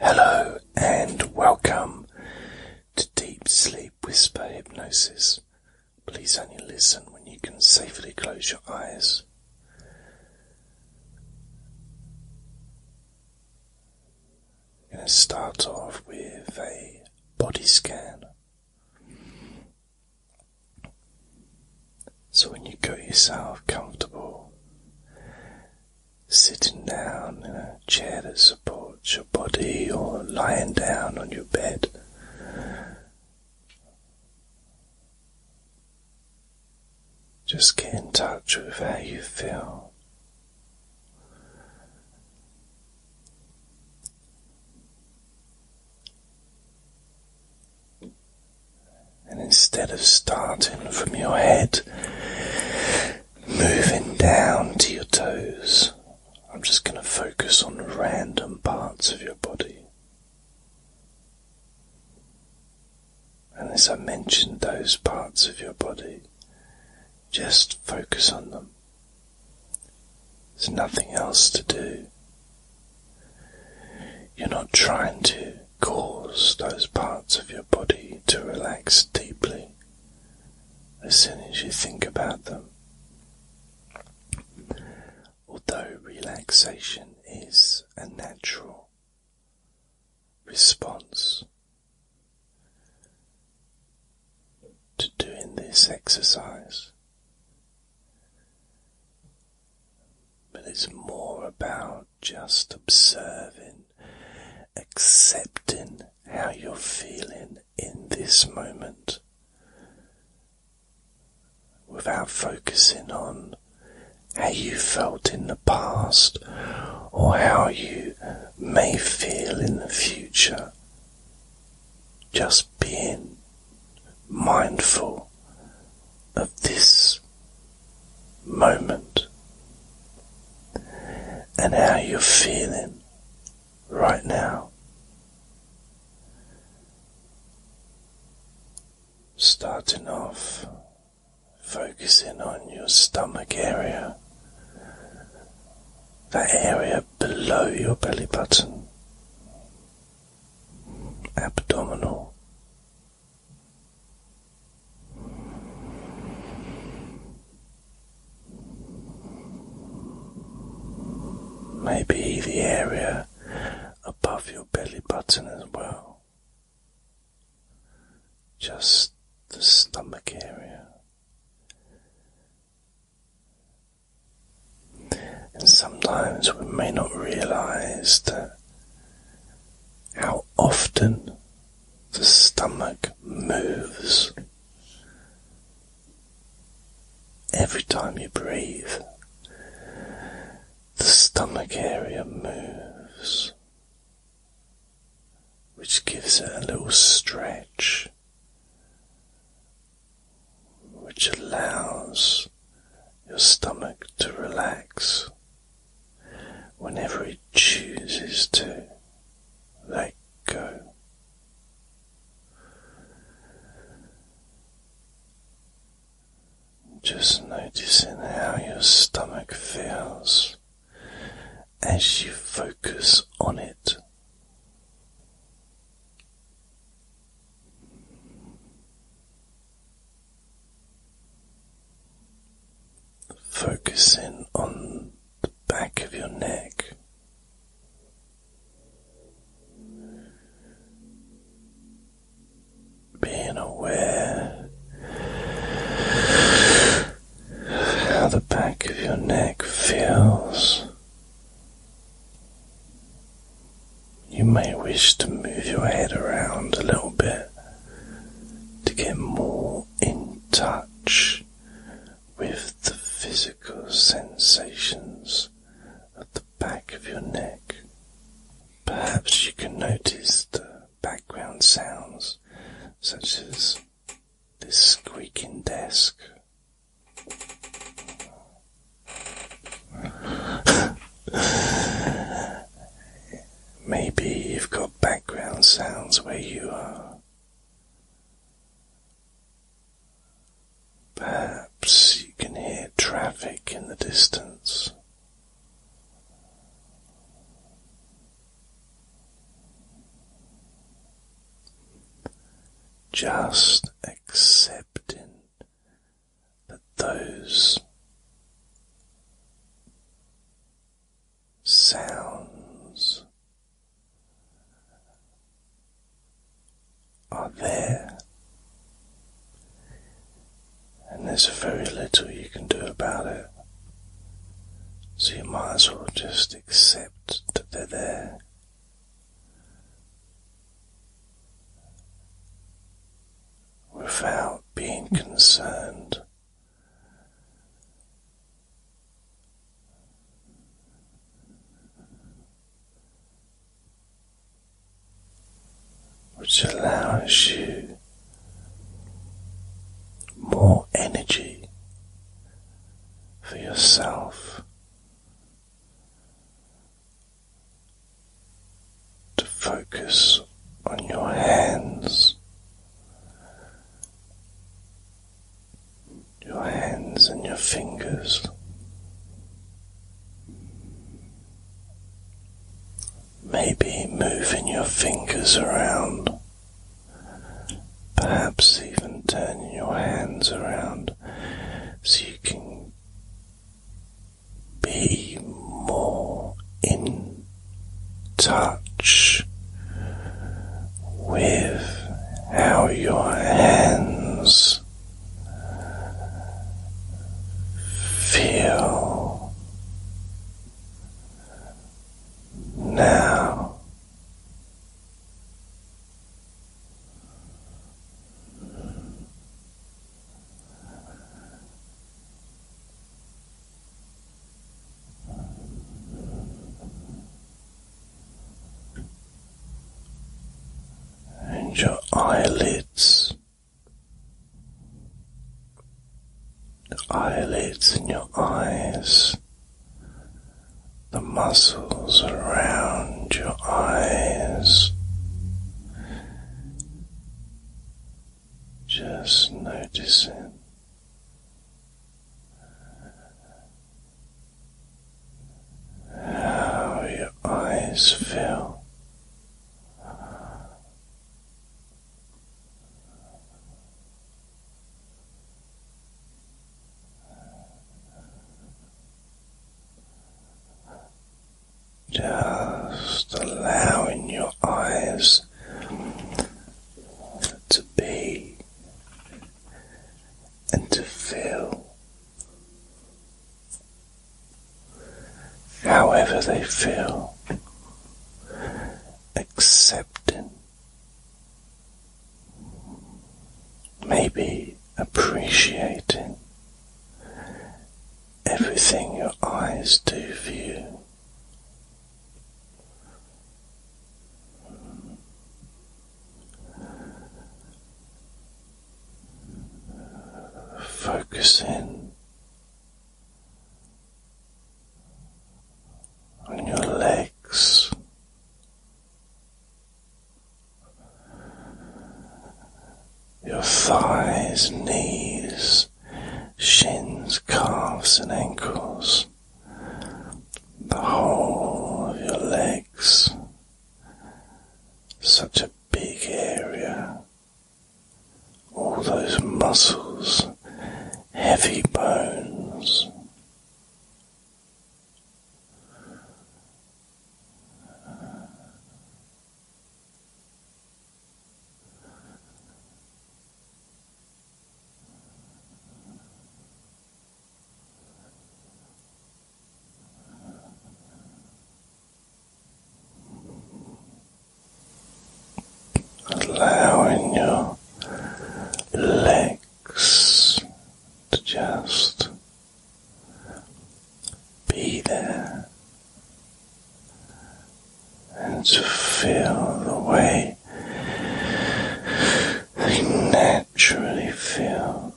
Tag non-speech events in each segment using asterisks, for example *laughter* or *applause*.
Hello and welcome to Deep Sleep Whisper Hypnosis. Please only listen when you can safely close your eyes. I'm going to start off with a body scan. So when you get yourself comfortable sitting down in a chair that supports your body or lying down on your bed. Just get in touch with how you feel. And instead of starting from your head, moving down to your toes, I'm just going to focus on random parts of your body. And as I mentioned those parts of your body, just focus on them. There's nothing else to do. You're not trying to cause those parts of your body to relax deeply as soon as you think about them. Although relaxation is a natural response to doing this exercise, but it's more about just observing, accepting how you're feeling in this moment without focusing on how you felt in the past or how you may feel in the future. Just being mindful of this moment and how you're feeling right now. Starting off, focusing on your stomach area, that area below your belly button, abdominal Maybe the area above your belly button as well. Just the stomach area. And sometimes we may not realize that how often the stomach moves every time you breathe. The stomach area moves, which gives it a little stretch, which allows your stomach to relax whenever it chooses to let go. Just noticing how your stomach feels as you focus on it. Focusing on the back of your neck. Being aware of how the back of your neck feels you may wish to move your head around a little bit to get more in touch with the physical sensations at the back of your neck. Perhaps you can notice the background sounds such as this squeaking desk. *sighs* Maybe you've got background sounds where you are. Perhaps you can hear traffic in the distance. Just accepting but those sounds are there, and there's very little you can do about it. So you might as well just accept that they're there without being concerned which allows you more energy for yourself to focus on your hands. Your hands and your fingers. Maybe moving your fingers around, perhaps even turning your hands around seeking be more in touch with how your hands feel now and your eyelids, eyelids in your eyes, the muscles around your eyes. Just noticing how your eyes feel. Just allowing your eyes to be and to feel however they feel, accepting, maybe appreciating everything your eyes do for you. Focus in on your legs. Your thighs, knees, shins, calves, and ankles, the whole of your legs, such a big area, all those muscles, heavy bones. Allowing your legs to just be there and to feel the way they naturally feel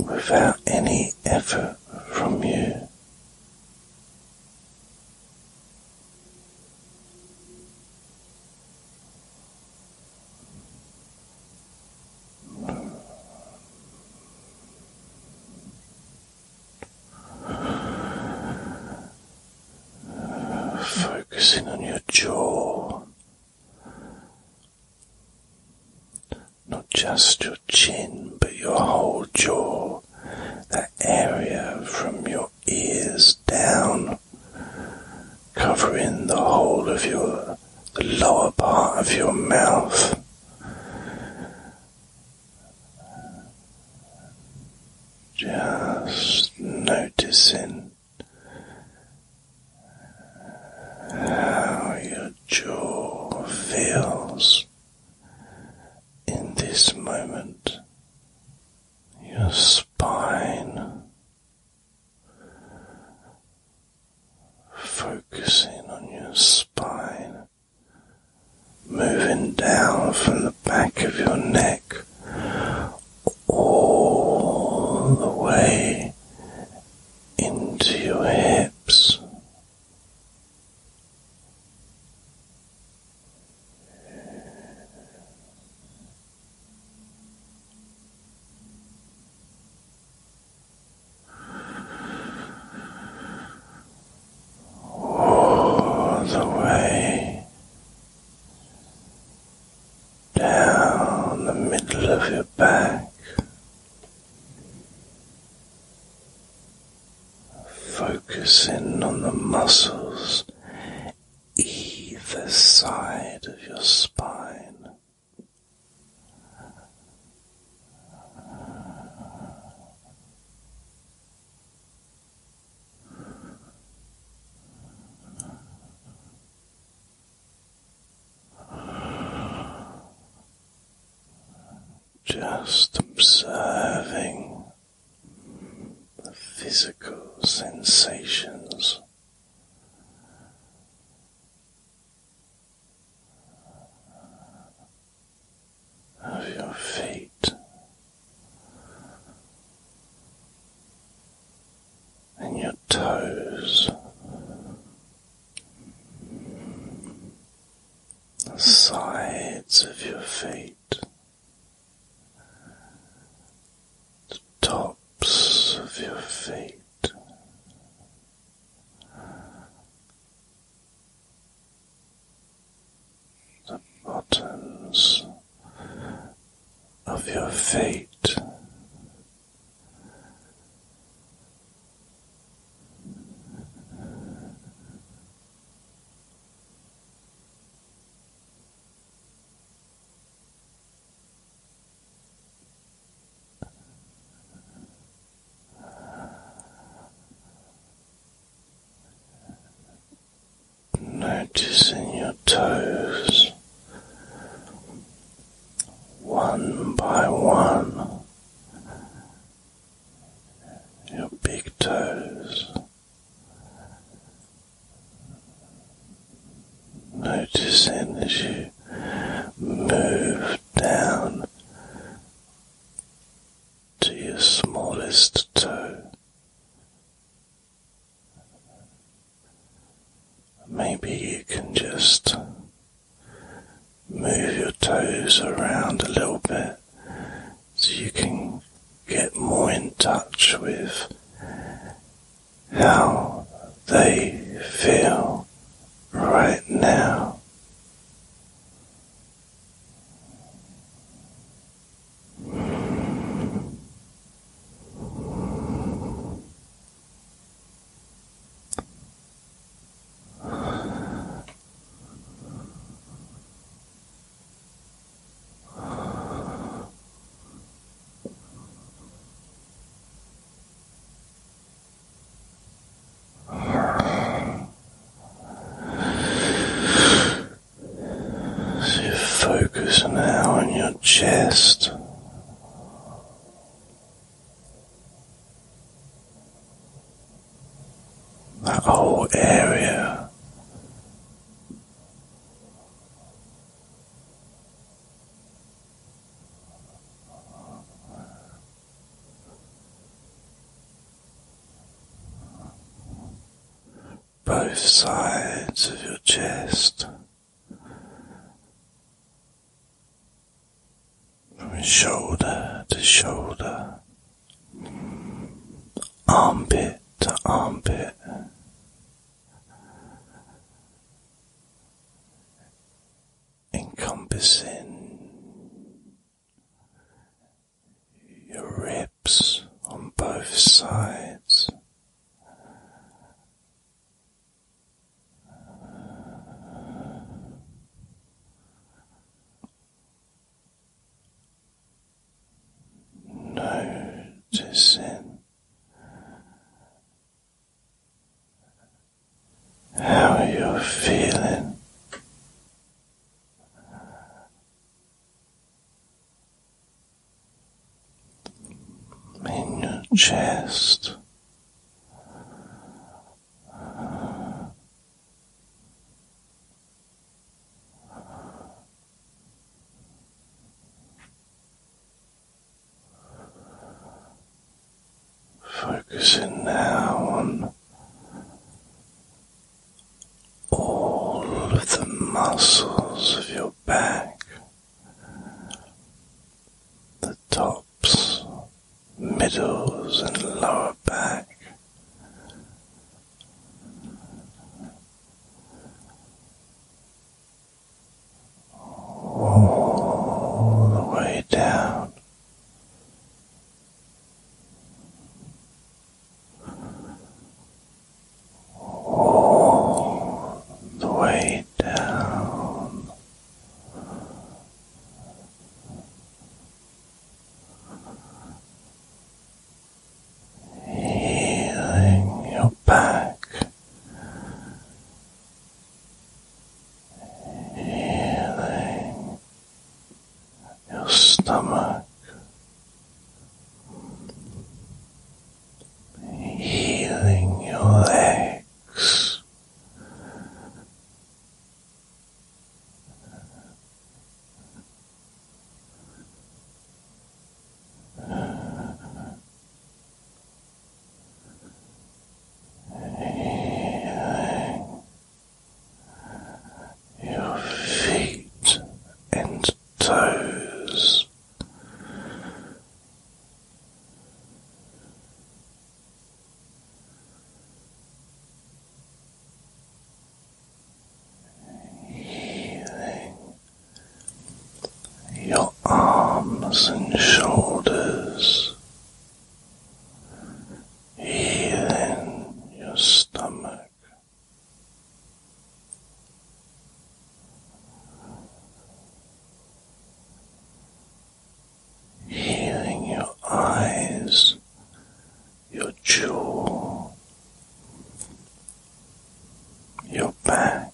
without any effort from you. Focusing on your jaw, not just your chin, but your whole jaw, that area from your ears down covering the whole of your lower part of your mouth. Just noticing how your jaw feels in this moment, your spine, Focusing on your spine, moving down from the back of your neck all the way into your hips all the way down the middle of your back. Focus in on the muscles either side of your spine. Just observing the physical sensations of your feet and your toes. The sides of your feet, the top of your feet. The bottoms of your feet, Noticing your toes one by one, your big toes, Noticing as you move down to your smallest toe, maybe you can just move your toes around a little bit so you can get more in touch with how they feel right now. So you focus now on your chest. That whole area both sides of your chest from shoulder to shoulder, armpit to armpit encompassing your ribs on both sides. Noticing how are you feeling. In your chest, Focusing now on all of the muscles of your back, the tops, middles, and lower back, all the way down. All the way down, healing your back, healing your stomach, healing your legs your feet and toes healing your arms and shoulders, healing your stomach. Healing your eyes your jaw, your back.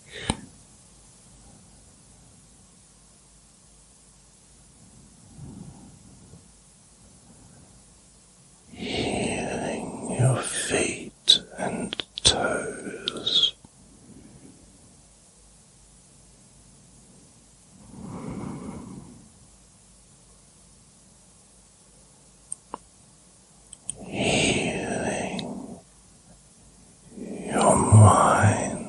Healing your feet and toes, healing your mind. Healing your mind.